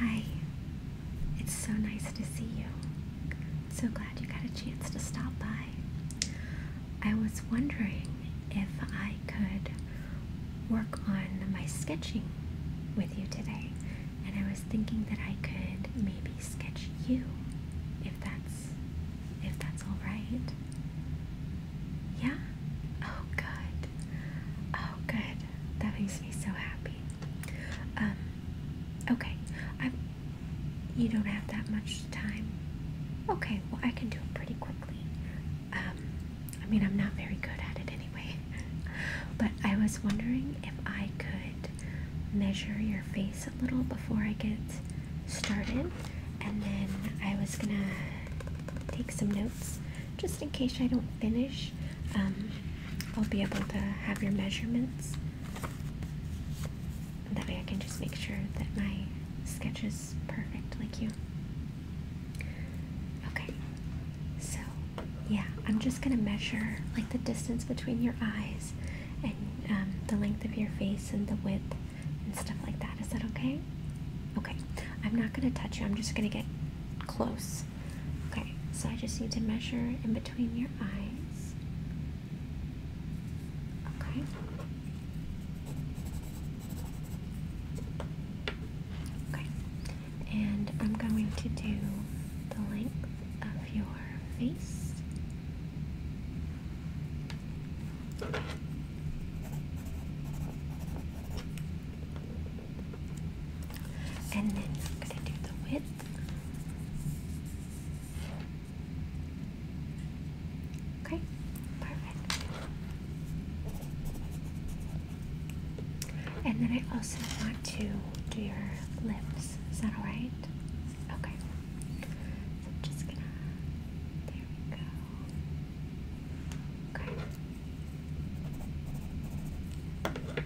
Hi, it's so nice to see you. So glad you got a chance to stop by. I was wondering if I could work on my sketching with you today, and I was thinking that I could maybe sketch you if that's if that's all right. Yeah. Oh, good. Oh, good. That makes me so happy. Um, okay. I'm. You don't have that much time. Okay. Well, I can do it pretty quickly. Um, I mean, I'm not very good at it anyway. but I was wondering if I could measure your face a little before I get started, and then I was gonna take some notes just in case I don't finish. Um, I'll be able to have your measurements. That way I can just make sure that my sketch is perfect like you. Okay, so yeah, I'm just gonna measure like the distance between your eyes and um, the length of your face and the width and stuff like that. Is that okay? Okay. I'm not gonna touch you. I'm just gonna get close. Okay, so I just need to measure in between your eyes. Okay. Okay, and I'm going to do the length of your face. And then I'm going to do the width. Okay, perfect. And then I also want to do your lips. Is that alright? Okay. I'm just gonna. There we go. Okay. Okay.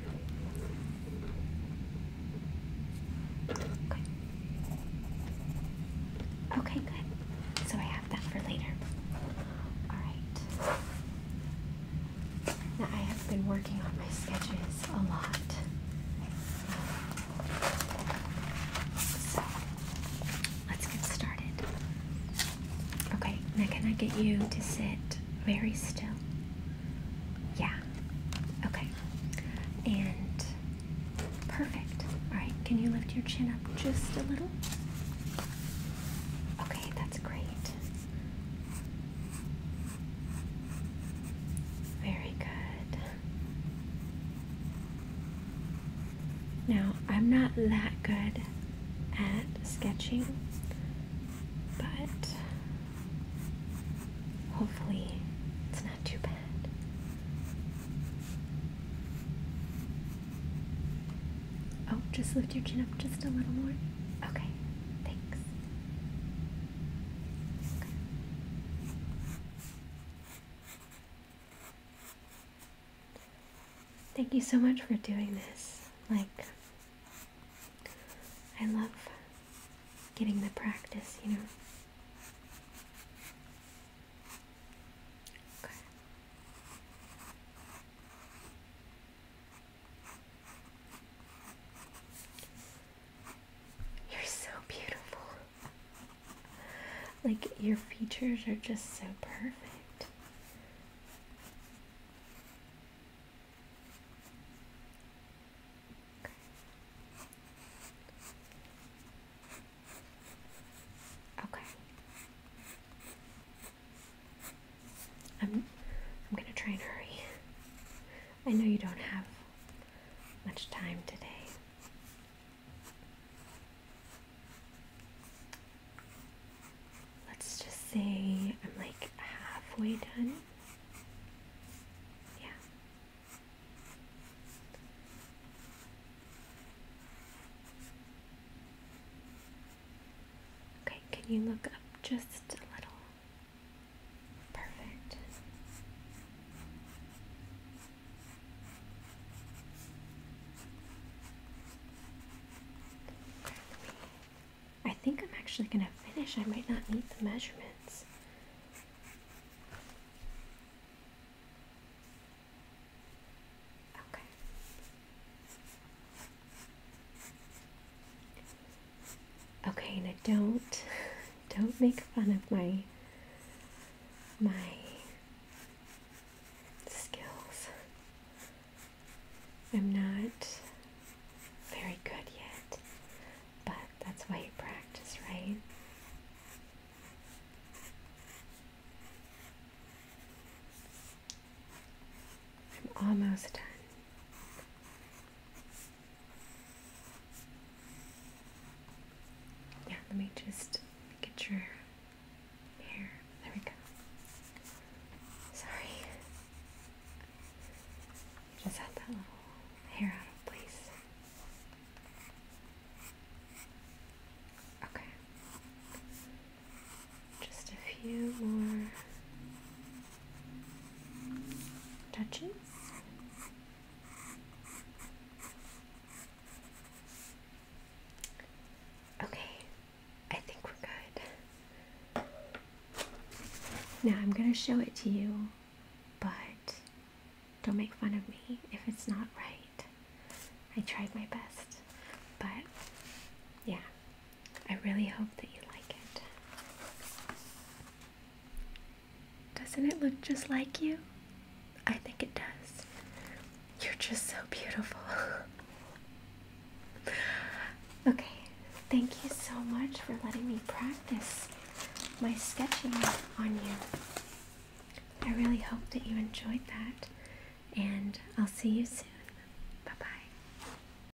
Okay, good. So I have that for later. Alright. Now I have been working on my sketches a lot let's get started. Okay, now can I get you to sit very still? Yeah. Okay. And perfect. All right, can you lift your chin up just a little? Okay, that's great. Very good. Now, I'm not that good at sketching, but hopefully it's not too bad. Oh, just lift your chin up just a little more. Okay, thanks. Okay. Thank you so much for doing this. Like, I love getting the practice, you know. Okay. You're so beautiful. Like, your features are just so perfect. Okay. I'm I'm going to try and hurry. I know you don't have much time today. Let's just say I'm like halfway done. Yeah. Okay, can you look up just a little? Perfect. I think I'm actually going to finish. I might not need the measurements. Okay. Okay, now don't don't make fun of my my skills. I'm not very good yet, but that's why you practice, right? I'm almost done. Yeah, let me just get your hair. There we go. Sorry. just had that little hair out of place. Okay. Just a few more touches. Okay, I think we're good. Now I'm going to show it to you, but don't make fun of me if it's not right. I tried my best, but yeah, I really hope that you like it. Doesn't it look just like you? I think it does. You're just so beautiful. okay, thank you so much for letting me practice my sketching on you. I really hope that you enjoyed that, and I'll see you soon. Bye bye.